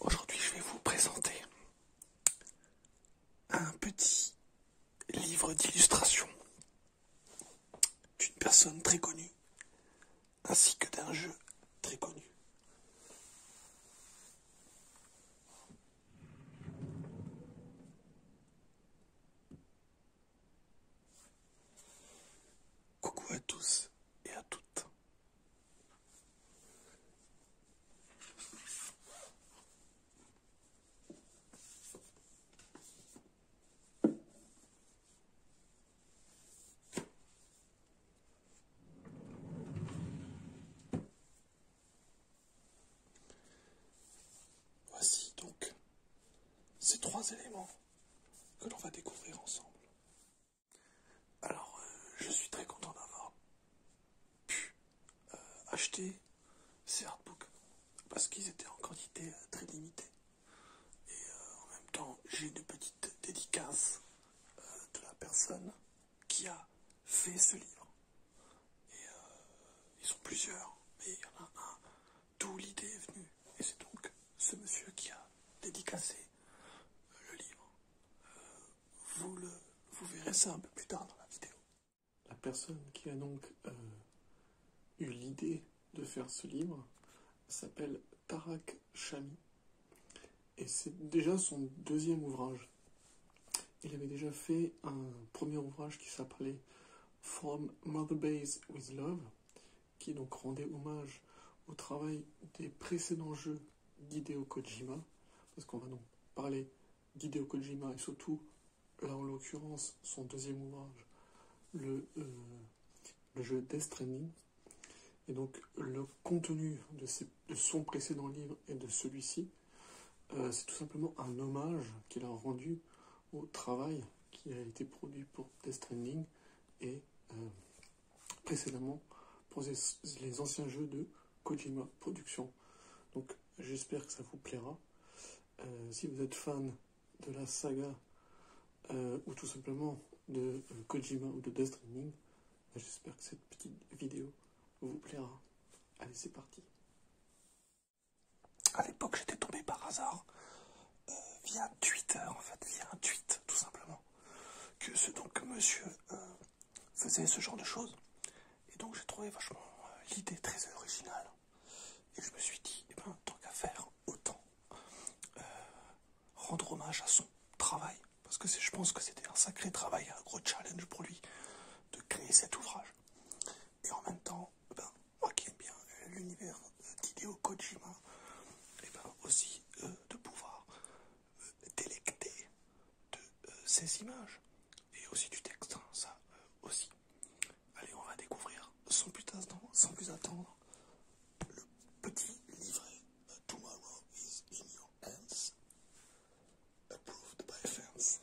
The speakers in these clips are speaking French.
Aujourd'hui, je vais vous présenter un petit livre d'illustration d'une personne très connue ainsi que d'un jeu très connu. Coucou à tous et à toutes. Voici donc ces trois éléments que l'on va découvrir ensemble. Alors, euh, je suis très content d'avoir pu euh, acheter ces artbooks parce qu'ils étaient en quantité euh, très limitée. Et en même temps, j'ai de petits dédicace euh, de la personne qui a fait ce livre. Et euh, ils sont plusieurs, mais il y en a un d'où l'idée est venue. Et c'est donc ce monsieur qui a dédicacé euh, le livre. vous, le, vous verrez ça un peu plus tard dans la vidéo. La personne qui a donc eu l'idée de faire ce livre s'appelle Tarak Chamy. Et c'est déjà son deuxième ouvrage. Il avait déjà fait un premier ouvrage qui s'appelait From Mother Base with Love, qui donc rendait hommage au travail des précédents jeux au Kojima, parce qu'on va donc parler au Kojima et surtout, là en l'occurrence, son deuxième ouvrage, le, euh, le jeu Death Stranding, et donc le contenu de, son précédent livre et de celui-ci, euh, c'est tout simplement un hommage qu'il a rendu au travail qui a été produit pour Death Stranding et euh, précédemment pour les, anciens jeux de Kojima Productions. Donc j'espère que ça vous plaira. Euh, si vous êtes fan de la saga ou tout simplement de Kojima ou de Death Stranding, J'espère que cette petite vidéo vous plaira. Allez, c'est parti. À l'époque, j'étais tombé par hasard euh, via Twitter, en fait, via un tweet, tout simplement, que ce donc monsieur euh, faisait ce genre de choses. Et donc, j'ai trouvé vachement euh, l'idée très originale. Et je me suis dit, eh ben, tant qu'à faire, autant rendre hommage à son travail parce que je pense que c'était un sacré travail, un gros challenge pour lui de créer cet ouvrage. Et en même temps, ben, moi qui aime bien l'univers d'Hideo Kojima, et ben aussi euh, de pouvoir euh, délecter de ces euh, images et aussi du texte, hein, ça aussi. Allez, on va découvrir sans plus, sans plus attendre le petit livret Tomorrow is in else approved by fans.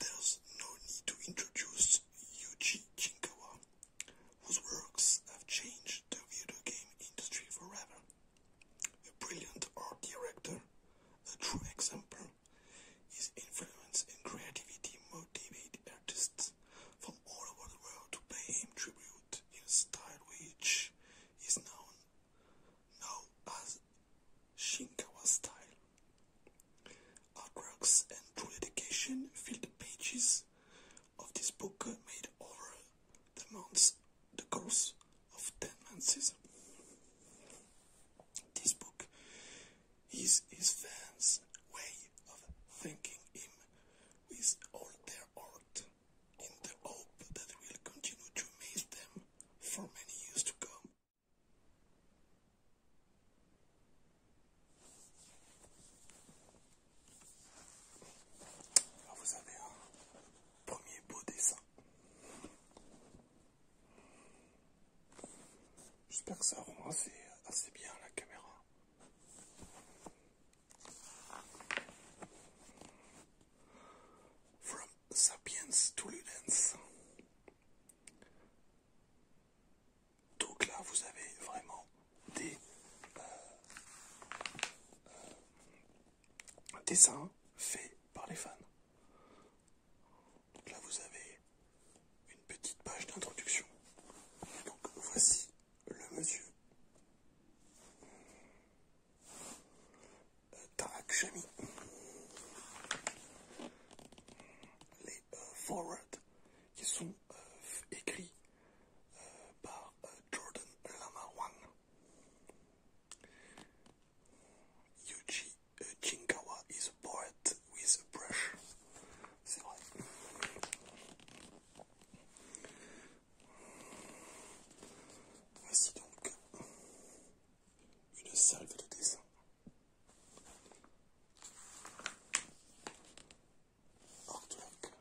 There's no need to introduce Yuji Chinkawa, whose works have changed the video game industry forever. A brilliant art director, a true example, his influence and creativity motivate artists from all over the world to pay him tribute in a style which is known now as Shinkawa style. Artworks and dedication fill the pages of this book made over the months, the course of ten months. This book is his fans' way of thanking him with all their art, in the hope that it will continue to amaze them for many years to come. Alors vous avez un premier beau dessin. J'espère que ça rend assez, caméra. From Sapiens to Ludens. Donc là, vous avez vraiment des euh, euh, dessins faits par les fans. Donc là, vous avez une petite page d'introduction. Donc voici le monsieur euh, Tarak Shami. Les euh, forewords qui sont euh, écrits par Jordan Lama Wang. Yuji Jinkawa is a poet with a brush. C'est vrai. Voici donc une salve de dessin. Artwork.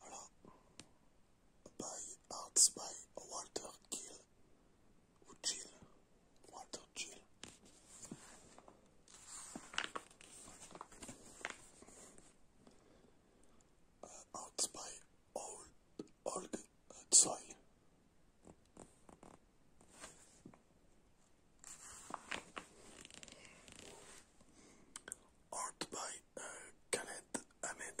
Voilà. By Arts by Walter Gill. o chill, chill. by old, old Art by uh, Ahmed.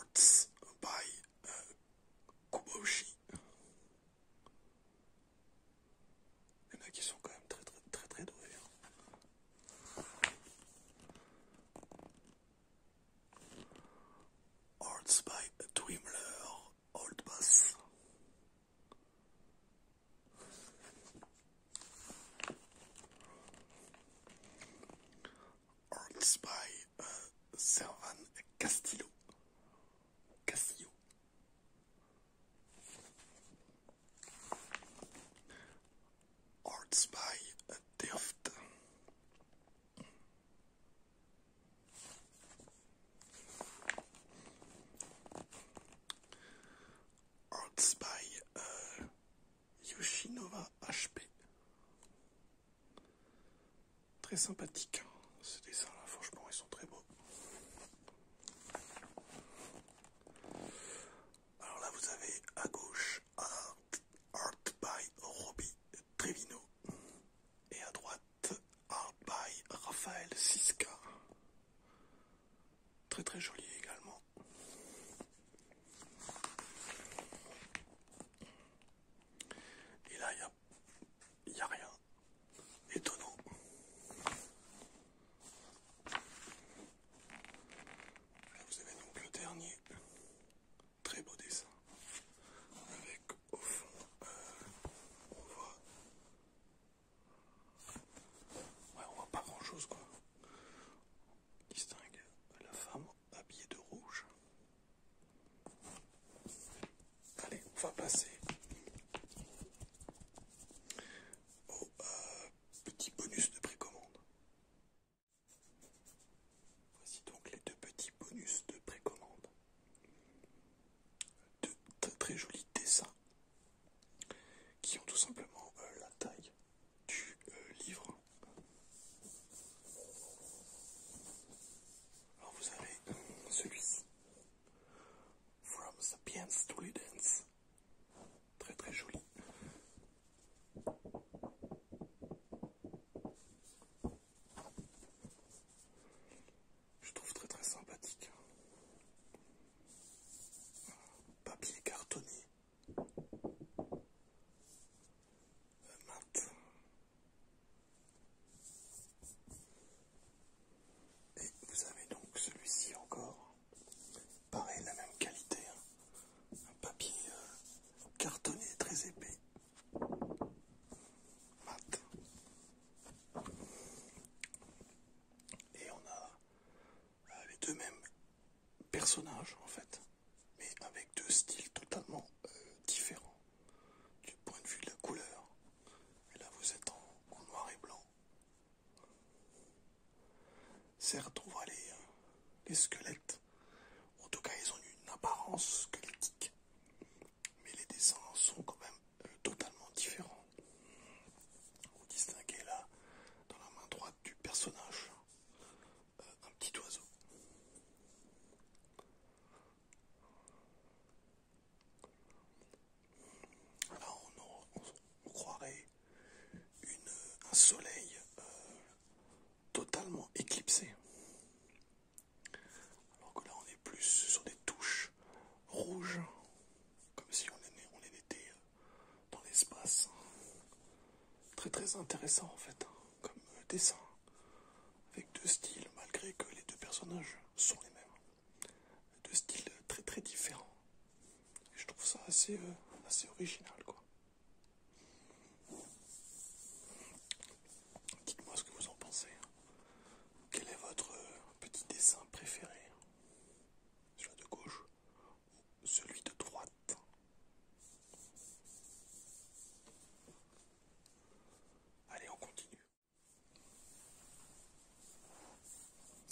Arts by euh, Kuboshi. Il y a qui sont quand même très très très très doués. Hein. Arts by Twimler. old boss. Arts by uh, Castillo. Castillo. Arts by uh, Art by euh, Yoshinova HP. Très sympathique, hein, ce dessin-là, franchement, ils sont très beaux. Alors là, vous avez à gauche Art, Art by Robbie Trevino et à droite Art by Raphaël Siska. Très très joli également. Et là, il n'y a, rien. Étonnant. vous avez donc le dernier. Très beau dessin. Avec au fond, euh, on voit Ouais, on voit pas grand chose quoi. On distingue la femme habillée de rouge. Allez, on va passer au euh, petit bonus de précommande. Voici donc les deux petits bonus de précommande. Deux très, très jolis dessins qui ont tout simplement euh, la taille du euh, livre. Alors vous avez euh, celui-ci, From Sapiens to Ludens, très très joli je trouve très très sympathique. Papier cartonné. mat Et vous avez donc celui-ci encore. Pareil, la même qualité. Hein. Un papier cartonnier euh, cartonné très épais. Mat. Et on a euh, les deux mêmes personnages en fait, mais avec deux styles totalement euh, différents du point de vue de la couleur. Et là vous êtes en, noir et blanc. Certes on voit les, euh, les squelettes, en tout cas ils ont une apparence squelettique, mais les dessins sont quand même totalement différent. Vous distinguez là, dans la main droite du personnage, euh, un petit oiseau. Là, on, croirait un soleil euh, totalement éclipsé. Alors que là, on est plus sur des touches rouges comme si on était dans l'espace. Très très intéressant en fait, hein, comme dessin, avec deux styles, malgré que les deux personnages sont les mêmes. Deux styles très très différents. je trouve ça assez, euh, assez original quoi. Dites-moi ce que vous en pensez. Quel est votre euh, petit dessin préféré celui de gauche ou celui de droite. Allez, on continue.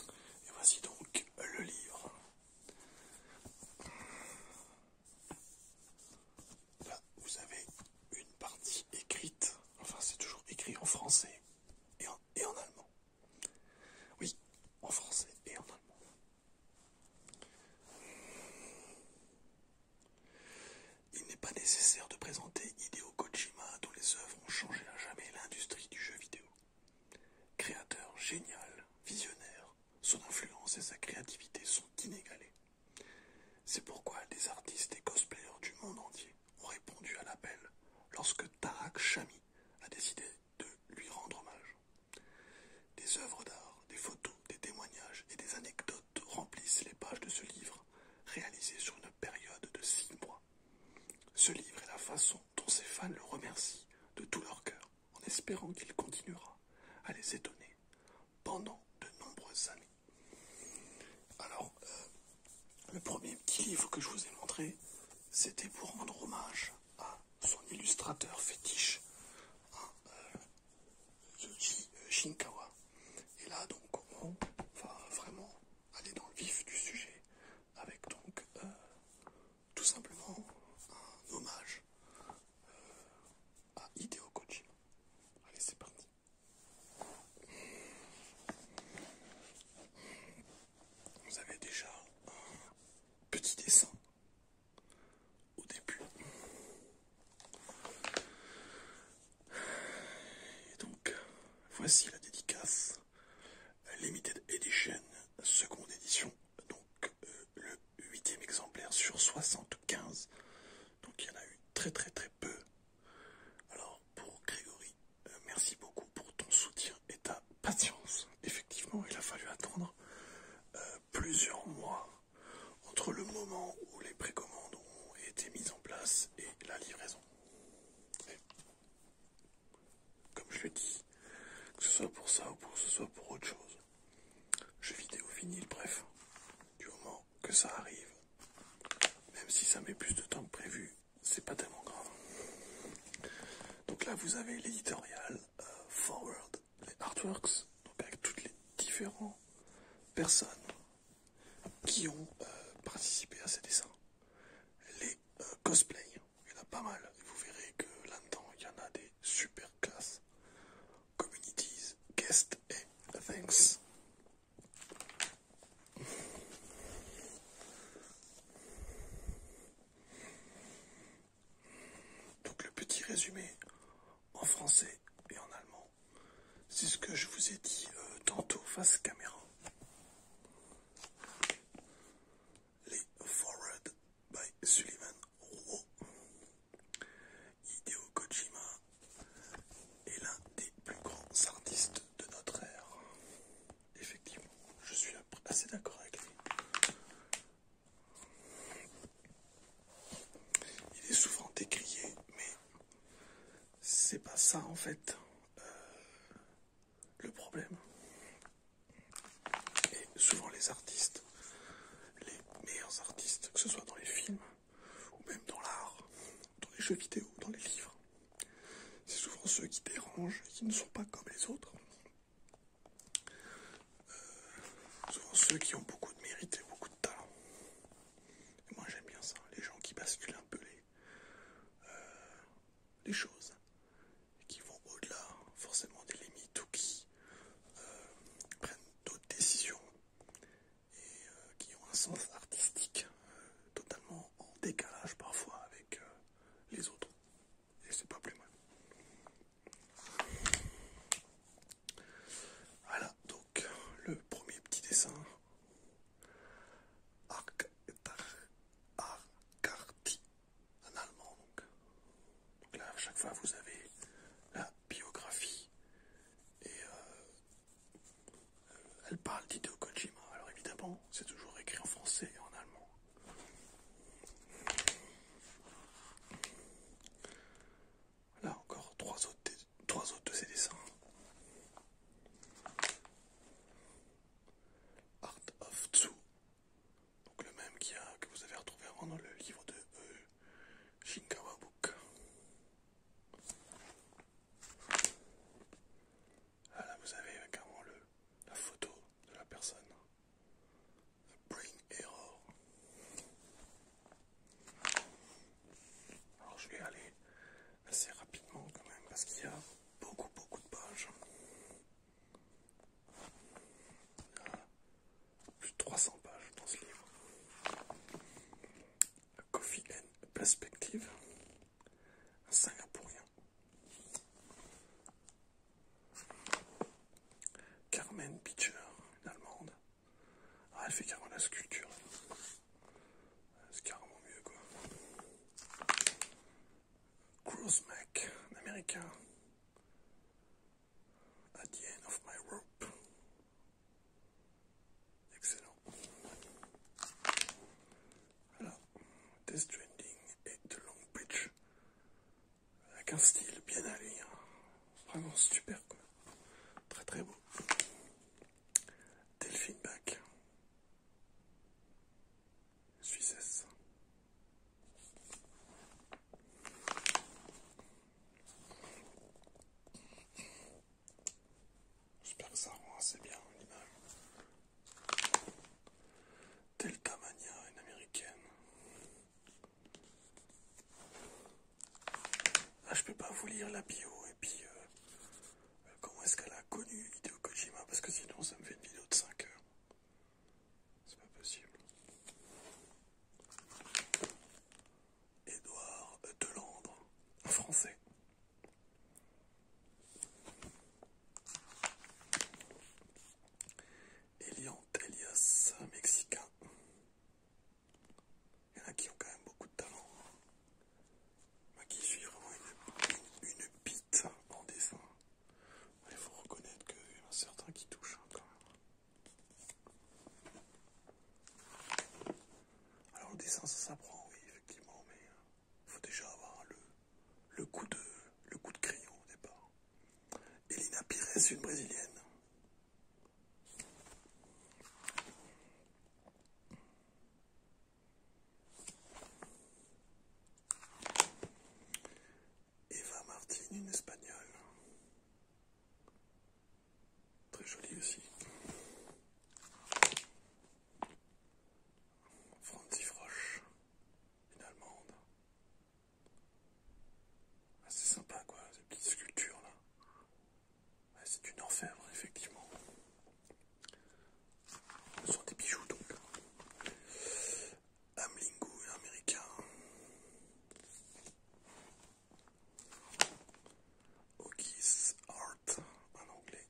Et voici donc le livre. Là, vous avez une partie écrite, enfin c'est toujours écrit en français et en, et en allemand. Oui, en français et en allemand. Il n'est pas nécessaire de présenter Hideo Kojima dont les œuvres ont changé à jamais l'industrie du jeu vidéo. Créateur génial, visionnaire, son influence et sa créativité sont inégalées. C'est pourquoi des artistes et cosplayers du monde entier ont répondu à l'appel lorsque Tarak Shami a décidé de lui rendre hommage. Des œuvres d'art, des photos, des témoignages et des anecdotes remplissent les pages de ce livre, réalisé sur une période de six mois. Ce livre est la façon dont ses fans le remercient de tout leur cœur, en espérant qu'il continuera à les étonner pendant de nombreuses années. Alors, euh, le premier petit livre que je vous ai montré, c'était pour rendre hommage à son illustrateur fétiche, Yuji hein, euh, euh, Shinkawa. Et là, donc, on va vraiment aller dans le vif du sujet avec donc euh, tout simplement un hommage à Hideo Kojima. Allez, c'est parti vous avez déjà un petit dessin au début. Et donc, voici la dédicace Limited Edition, seconde édition. Donc, euh, le huitième exemplaire sur 75. Donc, il y en a eu très très très peu. Alors, pour Grégory euh, merci beaucoup pour ton soutien et ta patience. Effectivement, il a fallu attendre euh, plusieurs mois entre le moment où les précommandes ont été mises en place et la livraison. comme je le dis, que ce soit pour ça ou pour ce soit pour autre chose, je vidéo vinyle, bref, du moment que ça arrive, même si ça met plus de temps que prévu, c'est pas tellement grave. Donc là, vous avez l'éditorial euh, Forward, les artworks, donc avec toutes les différentes personnes qui ont euh, participé à ces dessins. Les euh, cosplay cosplays, il y en a pas mal. Vous verrez que là-dedans, il y en a des super classes. Communities, guests et thanks. Donc le petit résumé en français et en allemand, c'est ce que je vous ai dit euh, tantôt face caméra. Les Forward by Sullivan Rowe. Hideo Kojima est l'un des plus grands artistes de notre ère effectivement, je suis assez d'accord avec lui. Il est souvent décrié, mais c'est pas ça en fait euh, le problème. Et souvent les artistes, les meilleurs artistes, que ce soit dans les films ou même dans l'art, dans les jeux vidéo, dans les livres, c'est souvent ceux qui dérangent, qui ne sont pas comme les autres. Euh, souvent ceux qui ont beaucoup de mérite et beaucoup de talent. moi j'aime bien ça, les gens qui basculent un peu les, euh, choses, qui vont au-delà forcément des limites ou qui euh, prennent d'autres décisions et qui ont un sens artistique totalement en décalage parfois avec les autres et c'est pas plus mal. Voilà donc le premier petit dessin. Arc en allemand donc. là à chaque fois vous avez la biographie et euh, elle parle d'Hideo Kojima. Alors évidemment c'est toujours écrit en français et en allemand. Là encore trois autres, de, trois autres ces dessins. Art of Tzu. Donc le même qui a, que vous avez retrouvé avant dans le livre de euh, Shinkawa Book. Ah là, vous avez carrément le, la photo de la personne. brain error. Alors je vais aller assez rapidement quand même parce qu'il y a beaucoup beaucoup de pages. Il plus de 300 pages dans ce livre. coffee and Perspective. Un Singapourien. Carmen Pitcher, une Allemande. Ah, elle fait carrément la sculpture. C'est carrément mieux, quoi. Gross Mac, un Américain. At the end of my rope. Excellent. Voilà. Test Trending et The Long pitch. Avec un style bien allé, hein. Vraiment super Très très beau. Delphine Back. Suissesse. J'espère que ça rend assez bien l'image. Deltamania une américaine. Ah, je peux pas vous lire la bio et puis euh, comment est-ce qu'elle a connu Hideo Kojima parce que sinon ça me fait une vidéo de 5 heures. C'est pas possible. Edouard Delandre, français. Eliant Elias, mexicain. Il y en a qui ont quand même beaucoup de talent. Hein. qui suivent vraiment une, une, bite en dessin. Il faut reconnaître qu'il y en a certains qui touchent hein, quand même. Alors le dessin ça s'apprend, oui effectivement, mais il euh, faut déjà avoir le, le coup de, le coup de crayon au départ. Elina Pires, une brésilienne. Eva Martin, une espagnole. Très jolie aussi. Franzi Frosch, une allemande assez ah, c'est sympa quoi, ces petites sculptures là. c'est une orfèvre hein, effectivement. Ce sont des bijoux donc. Amlingu américain. Ogis Art en anglais.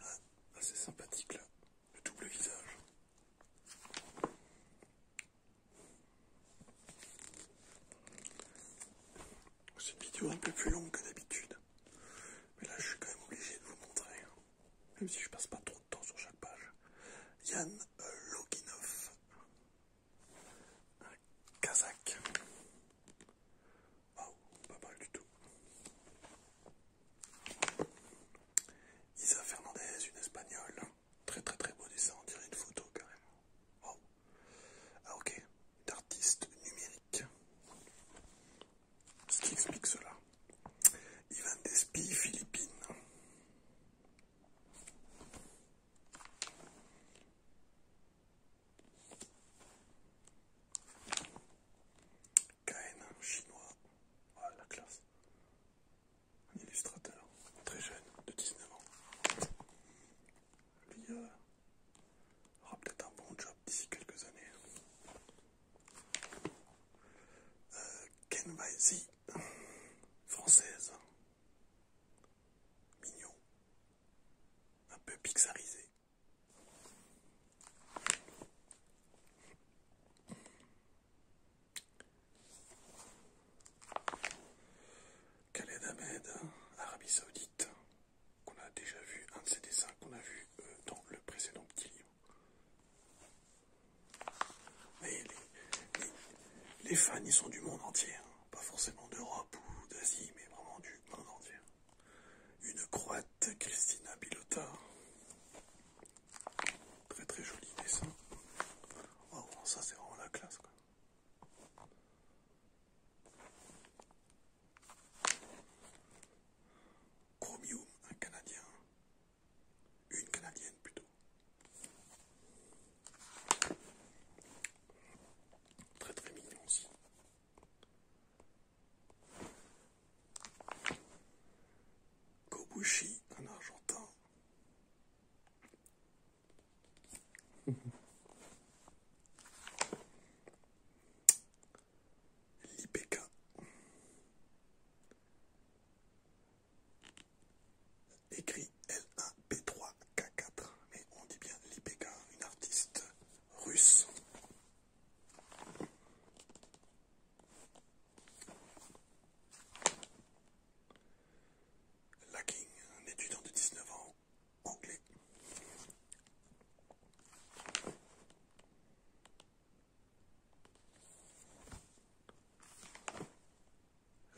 Ah, ah sympathique là le double visage. Oh, C'est une vidéo un peu plus longue que d'habitude, mais là je suis quand même obligé de vous montrer, même si je passe pas trop de temps sur chaque page. Yann euh, Loginov, un Kazakh. Waouh, pas mal du tout. Isa Fernandez, une espagnole. Très très très beau dessin, on dirait une photo carrément. Oh. Ah ok, artiste numérique. Ce qui explique cela. Ivan Despi, Philippines. Kaen, chinois. Voilà ah, la classe un illustrateur très jeune, de 19 ans. Lui euh, aura peut-être un bon job d'ici quelques années. Euh, Ken française, mignon, un peu pixarisé. Khaled Ahmed, Arabie Saoudite, qu'on a déjà vu, un de ses dessins qu'on a vu euh, dans le précédent petit livre. les, fans, ils sont du monde entier, hein. pas forcément d'Europe ou d'Asie, mais vraiment du monde entier. Une croate, Christina Bilota. Très très joli dessin. Oh, ça c'est vraiment la classe quoi. Chromium, un Canadien. Une Canadienne plutôt. Très très mignon aussi. Kobushi, un Argentin. l'ipeka Écrit L1P3K4. Mais on dit bien Lipeka une artiste russe. Lacking, un étudiant de 19 ans, anglais.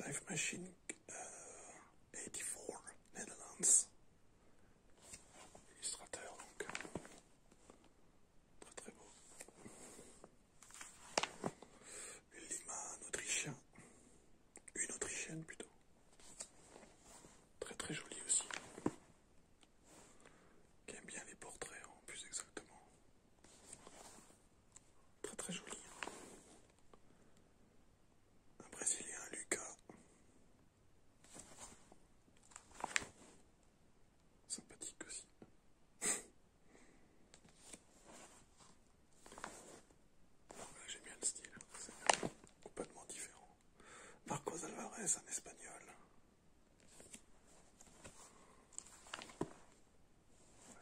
Life Machine 84, euh, Netherlands. Illustrateur donc. Très très beau. Lima, un autrichien. Une autrichienne plutôt. Très très jolie aussi. Qui aime bien les portraits en plus exactement. Très très jolie. Hein. Un Brésilien, Lucas. Sympathique aussi. J'ai J'aime bien le style, hein, c'est complètement différent. Marcos Alvarez, un espagnol.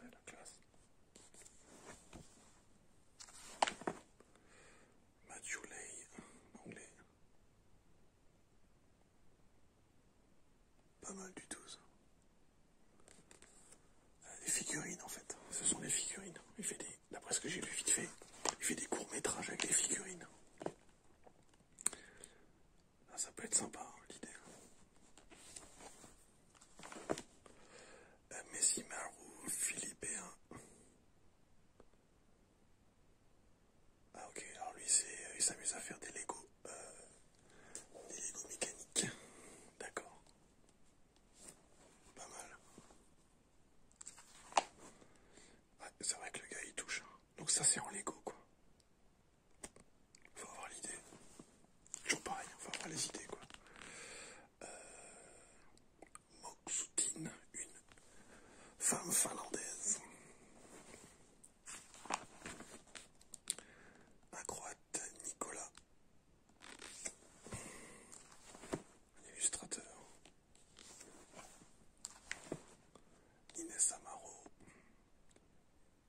la classe. Mathieu Lay, anglais. Pas mal du tout ça. Des euh, figurines en fait. Ce sont des figurines. Il fait des. D'après ce que j'ai lu vite fait, il fait des courts-métrages avec les figurines. Ah, ça peut être sympa hein, l'idée. Euh, Messi Philippe Philippéen. Ah ok, alors lui Il s'amuse à faire des Lego. Euh, des Lego mécaniques. D'accord. Pas mal. Ouais, c'est vrai que le gars il touche. Hein. Donc ça c'est en Lego quoi. Faut avoir l'idée. Toujours pareil, hein, faut avoir les idées quoi. Euh... Moxutine, une femme finlandaise. Un Nicolas. illustrateur. Inès Amaro.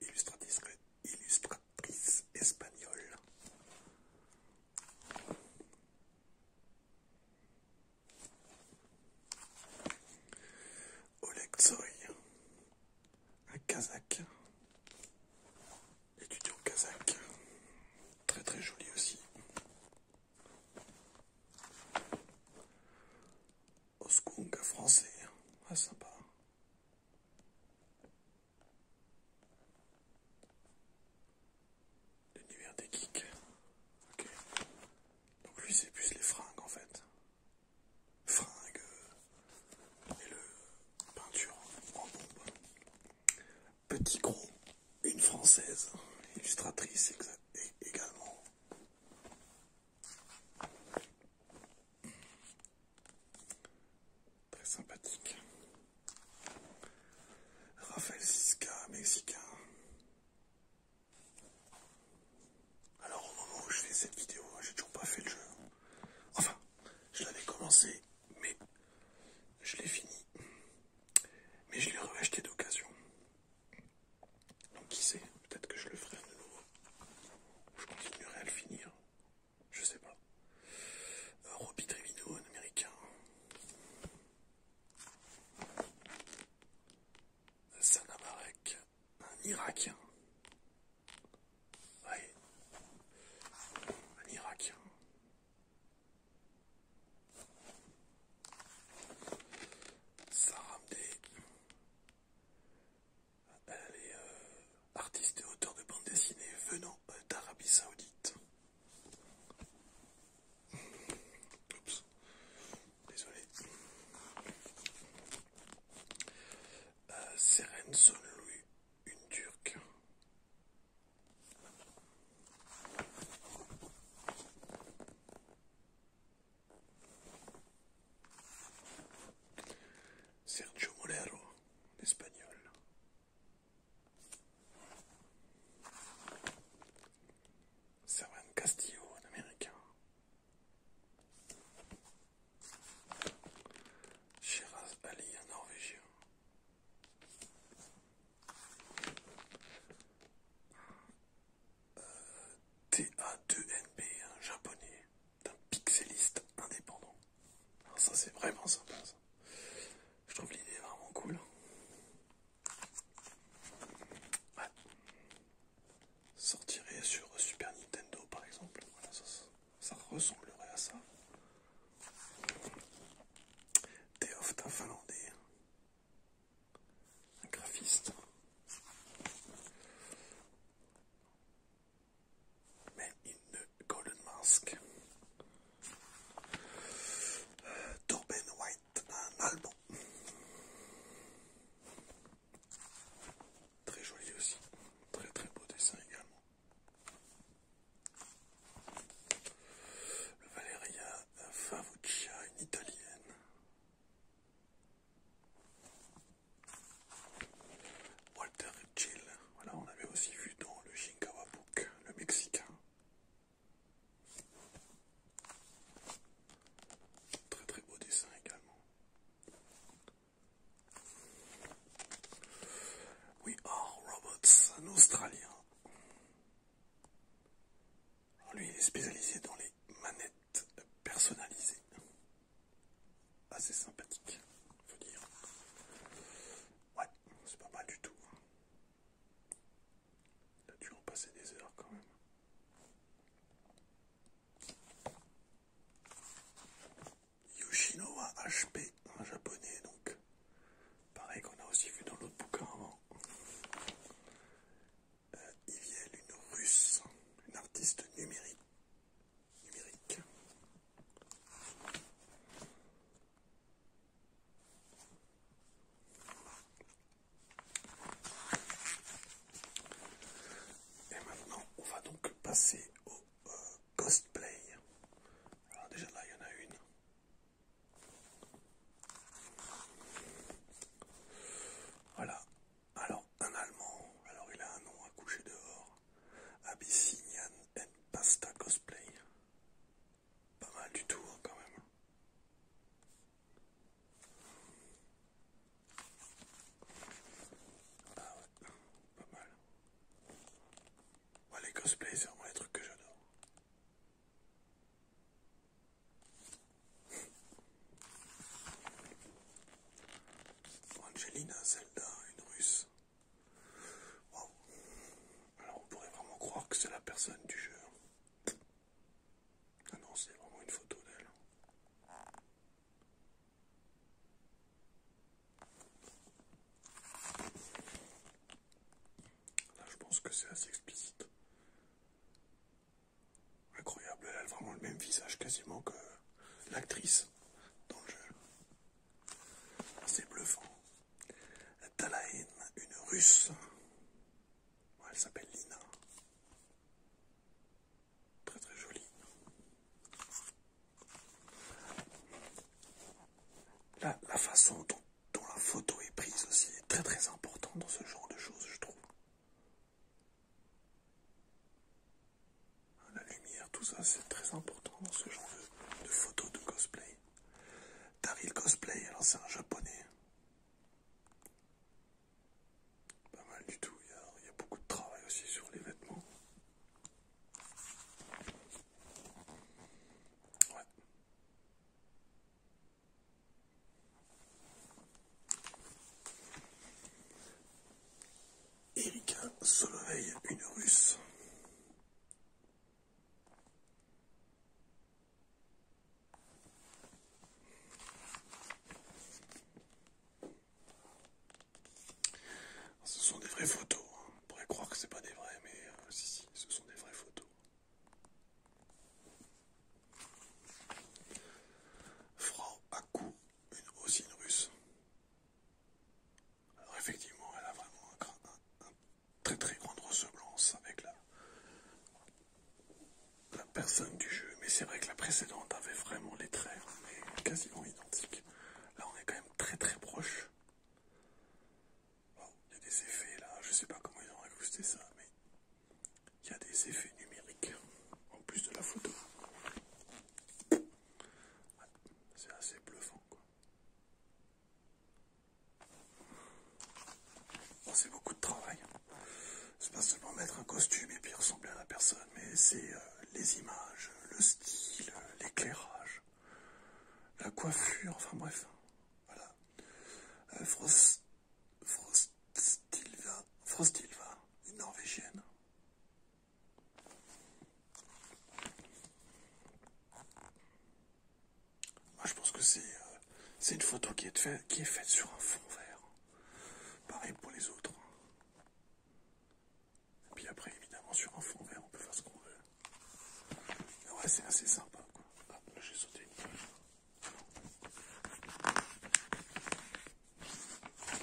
Illustratrice, illustratrice espagnole. Oleg Zoy, un Kazakh, étudiant kazakh, très très joli aussi. Oskung français, ah sympa. L'univers des geeks. Ok. Donc lui c'est plus les fringues en fait fringues et le peinture en bombe. Petit Gros, une française, illustratrice également. Très sympathique. Rafael Siska, mexicain. Alors au moment où je fais cette vidéo, hein, j'ai toujours pas fait le jeu. Enfin, je l'avais commencé, mais je l'ai fini. Mais je l'ai reacheté d'occasion. Donc qui sait, peut-être que je le ferai de nouveau. Je continuerai à le finir. Je sais pas. un américain. Sanabarek, un irakien. Oui, Un Irak Sarah Elle est euh, artiste et auteur de bande dessinée venant euh, d'Arabie Saoudite. Oups. Désolé. Euh, une turque. Sergio Molero, l'espagnol. Savan Castillo, Américain. Shiraz Ali, un Norvégien. ta 2 np un japonais, d'un pixeliste indépendant. Ah, ça c'est vraiment sympa ça. Je trouve l'idée vraiment cool. Ouais. Sortirait sur Super Nintendo par exemple. Voilà, ça ressemblerait à ça. Teoft, un Finlandais. Un graphiste. Mais une Golden Mask. Torben White, un album Très joli aussi. Très très beau dessin également. Le Valeria Favuccia, une italienne. Walter Chill, voilà, on avait aussi vu dans le Shinkawa Book, le Mexicain. Très très beau dessin également. We are robots, un Australien. lui, il est spécialisé dans les manettes personnalisées. Assez sympathique, faut dire. Ouais, c'est pas mal du tout. Il a dû en passer des heures quand même. Yoshinoa HP, un japonais donc. Pareil qu'on a aussi vu dans l'autre bouquin avant. Yviel, euh, une russe, une artiste numérique. numérique. Et maintenant, on va donc passer au cosplay. Alors ah, déjà là, il y en a une. Voilà. Alors, un Allemand. Alors, il a un nom à coucher dehors. Abyssinian and Pasta Cosplay. Pas mal du tout, hein, quand même. Ah, pas mal. les cosplays, c'est vraiment les trucs que j'adore. Angelina Zelda, une russe. Alors on pourrait vraiment croire que c'est la personne du jeu. Ah non, c'est vraiment une photo d'elle. Ah, je pense que c'est assez explicite. Incroyable, elle a vraiment le même visage quasiment que l'actrice dans le jeu. C'est bluffant. Talaïn, une russe. Elle s'appelle Lina. Très très jolie. La, façon dont, la photo est prise aussi est très très importante dans ce genre de choses, je trouve. La lumière, tout ça, c'est très important dans ce genre de, photos de cosplay. Daryl Cosplay, alors c'est un japonais. Pas mal du tout, il y a beaucoup de travail aussi sur les vêtements. Ouais. Erika une russe. Ce sont des vraies photos. Hein. On pourrait croire que ce c'est pas des vraies, mais euh, si, si, ce sont des vraies photos. Frau Akou, une, ossine russe. Alors effectivement, elle a vraiment une très très grande ressemblance avec la, la personne du jeu. Mais c'est vrai que la précédente avait vraiment les traits hein, mais quasiment identiques. Là, on est quand même très très proche il y a des effets là, je ne sais pas comment ils ont raccroché ça, mais il y a des effets numériques en plus de la photo. C'est assez bluffant quoi. c'est beaucoup de travail. Hein. C'est pas seulement mettre un costume et puis ressembler à la personne, mais c'est euh, les images, le style, l'éclairage, la coiffure, enfin bref, voilà. Euh, Frostilva, une norvégienne. Moi, je pense que c'est euh, une photo qui est faite sur un fond vert. Pareil pour les autres. Et puis après, évidemment, sur un fond vert, on peut faire ce qu'on veut. ouais, c'est assez sympa, quoi. Ah, là, j'ai sauté une page. Ah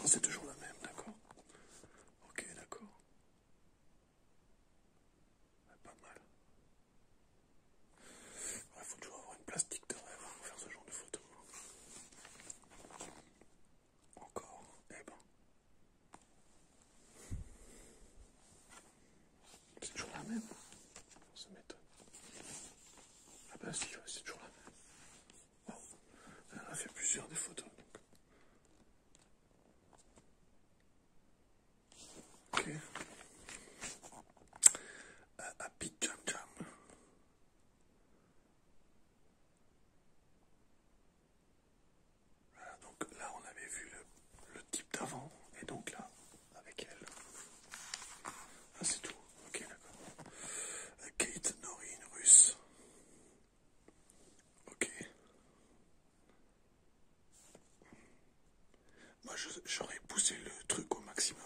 c'est toujours la même, d'accord Ok, d'accord. Ah, pas mal. Il faut toujours avoir une plastique de rêve pour faire ce genre de photo. Encore Eh ben. C'est toujours la même. Ça m'étonne. Ah ben si, c'est toujours la même. Oh. Elle a fait plusieurs des photos. Ok. à ah, happy ah, Jam Jam. Voilà, donc là on avait vu le, type d'avant, et donc là, avec elle. Ah c'est tout, ok d'accord. Euh, Kate Norin, russe. Ok. Moi j'aurais poussé le truc au maximum.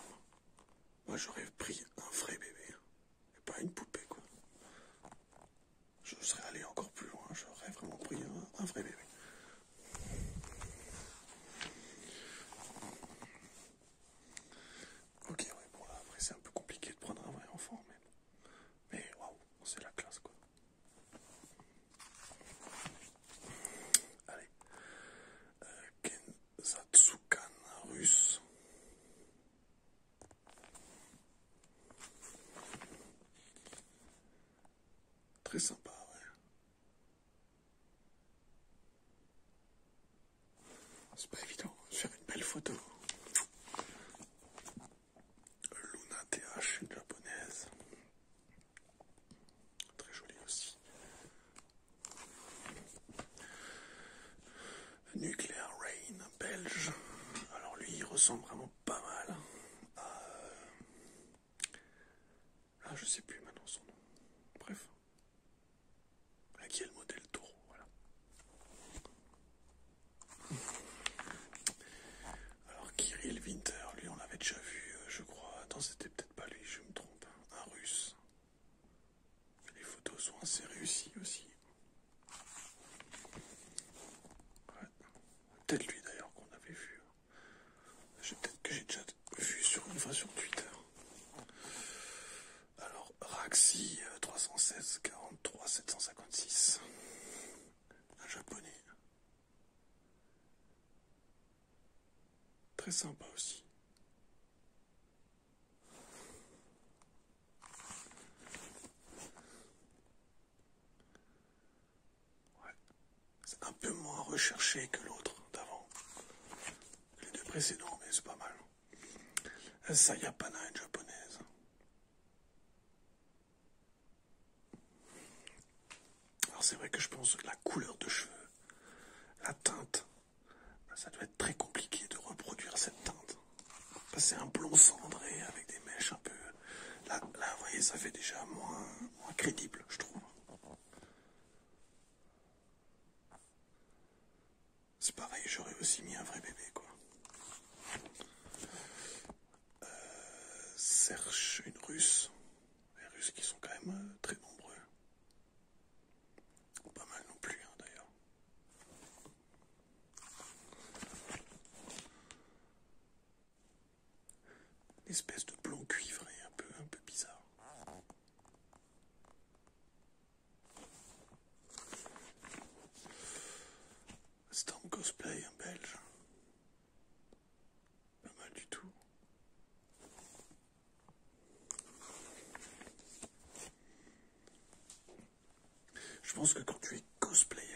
Moi j'aurais pris un vrai bébé. Et pas une poupée quoi je serais allé encore plus loin, j'aurais vraiment pris un, vrai bébé. Ok, bon là, après c'est un peu compliqué de prendre un vrai enfant, mais waouh, c'est la classe quoi. Allez, euh, Kenzatsukan russe. Très sympa, ouais. C'est pas évident, faire une belle photo. Luna TH, japonaise. Très jolie aussi. Nuclear Rain, belge. Alors lui, il ressemble vraiment pas mal. Ah, je sais plus maintenant son nom. Bref. À qui est le modèle taureau Alors, Kirill Winter, lui, on l'avait déjà vu, euh, je crois. Attends, c'était peut-être pas lui, je me trompe. Hein. Un russe. Les photos sont assez réussies aussi. Peut-être lui d'ailleurs qu'on avait vu. Peut-être que j'ai déjà vu sur une version Twitter. Alors, Raxi 316 43 756. Un japonais. Très sympa aussi. C'est un peu moins recherché que l'autre d'avant. Les deux précédents, mais c'est pas mal. Sayapana euh, est japonaise. Alors c'est vrai que je pense que la couleur de cheveux, la teinte, ça doit être très compliqué de reproduire cette teinte. C'est un blond cendré avec des mèches un peu là, vous voyez, ça fait déjà moins, moins crédible, je trouve. C'est pareil, j'aurais aussi mis un vrai bébé, quoi. cherche euh, une russe. Les Russes qui sont quand même euh, très nombreux. Pas mal non plus, hein, d'ailleurs. Une espèce de blanc cuivré un peu, un peu bizarre. C'est un cosplay, un belge. Pas mal du tout. Je pense que quand tu es cosplayer,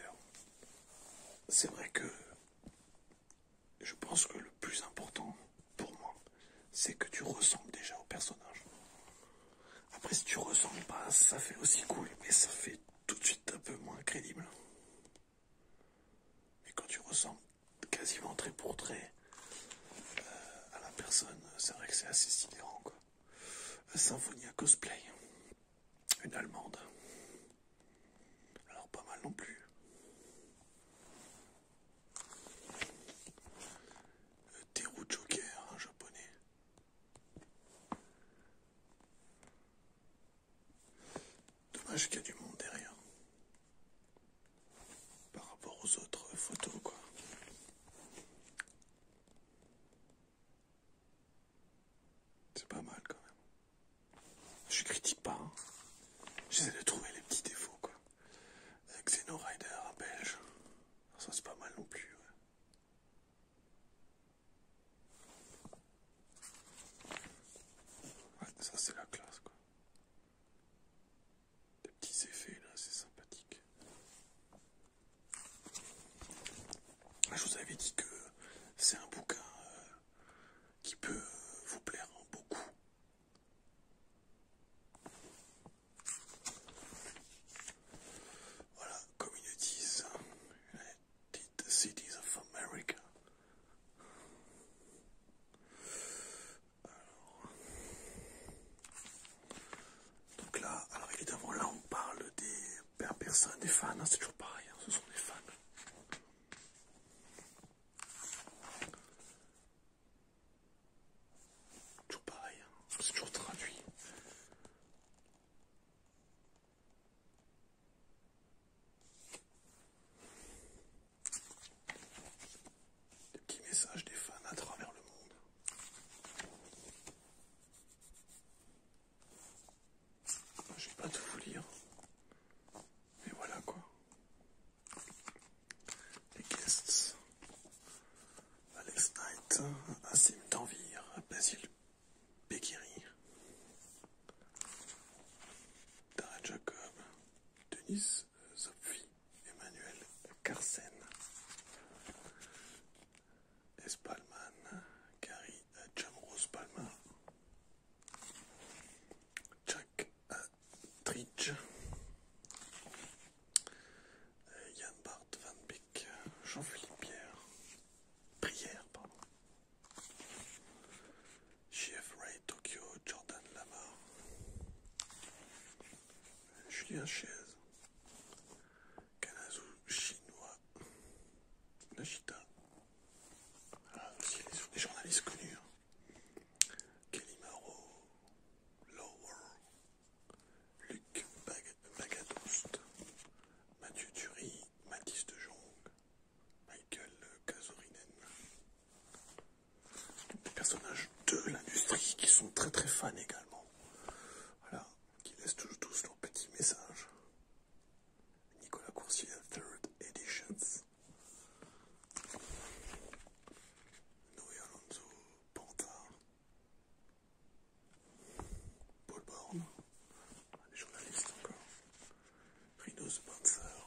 c'est vrai que je pense que le plus important pour moi, c'est que tu ressembles déjà au personnage. Après, si tu ressembles pas, ça fait aussi cool, mais ça fait tout de suite un peu moins crédible. Et quand tu ressembles quasiment très pour trait euh, à la personne, c'est vrai que c'est assez sidérant. Quoi. Symphonia Cosplay, une Allemande, alors pas mal non plus. le euh, Teru Joker, japonais. Dommage qu'il y a du monde derrière. Par rapport aux autres photos quoi. C'est pas mal quand même. Je critique pas. Hein. J'essaie de trouver les petits défauts quoi. Xenorider, un belge. Ça c'est pas mal non plus. ça c'est la classe Des petits effets là, c'est sympathique. Je vous avais dit que c'est un bouquin euh, qui peut vous plaire beaucoup. Voilà, Communities, United Cities of America. Alors, donc là, alors évidemment, là on parle des personne, des fans, hein, c'est toujours pareil, hein, ce sont des fans. Toujours pareil, hein, c'est toujours traduit. Des petits messages des fans à travers le monde. Je vais pas tout vous lire. Mais voilà quoi. Les guests. Alex Knight, Asim Tanvir, Basil Bekiri, Darren Jacob, Denis Zopfi, Emmanuel Carsen, Espalman, Gary Jamros Palma, Chuck Attridge, Yann Bart Van Beek, Jean-Philippe Pierre, Prière, pardon, Ray Tokyo, Jordan Lamar, Julien Chaise, Kanazu Chinois, Nashita, sont des journalistes connus, hein. Kelly Maro, Lower, Luc Bagadouste, Mathieu Turi, Mathis de Jong, Michael Kazorinen. Des personnages de l'industrie qui sont très très fans également. Voilà, qui laissent toujours tous leurs petits messages. Nicolas Coursier Third Editions, Noé Alonso Pantard, Paul Born, les journalistes encore, Rino Panther,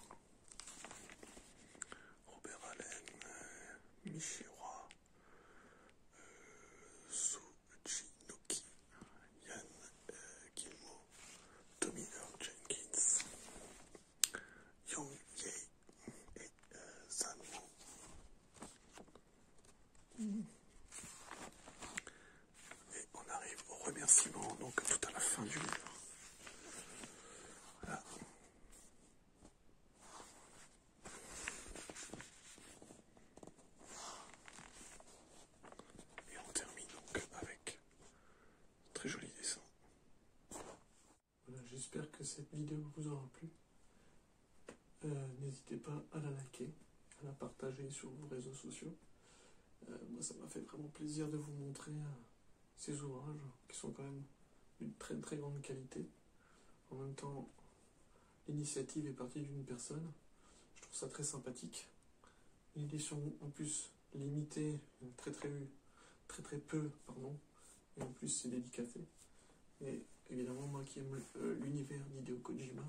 Robert Allen, euh, Michi Roy, euh, Suji Yann Gilmo, Tommy Jenkins, Young Ye et Zan. Et on arrive au remerciement, donc tout à la fin du livre. Et on termine donc avec Très joli dessin. Voilà, j'espère que cette vidéo vous aura plu. Euh, n'hésitez pas à la liker, à la partager sur vos réseaux sociaux. Euh, moi, ça m'a fait vraiment plaisir de vous montrer euh, ces ouvrages qui sont quand même d'une très très grande qualité. En même temps, l'initiative est partie d'une personne. Je trouve ça très sympathique. Une en plus limité, très très, très, très peu, pardon, et en plus c'est délicaté. Et évidemment, moi qui aime euh, l'univers d'Hideo Kojima,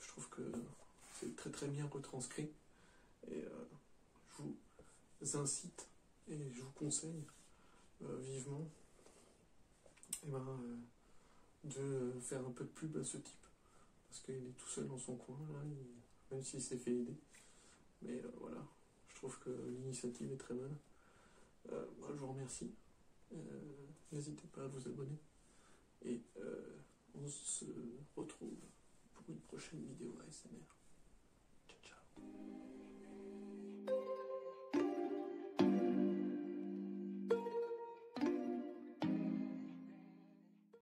je trouve que c'est très très bien retranscrit. Et euh, je vous incite et je vous conseille euh, vivement eh ben, de faire un peu de pub à ce type. Parce qu'il est tout seul dans son coin, là, même s'il s'est fait aider. Mais euh, voilà, je trouve que l'initiative est très bonne. Euh, je vous remercie. Euh, n'hésitez pas à vous abonner. Et on se retrouve pour une prochaine vidéo ASMR. Ciao, ciao.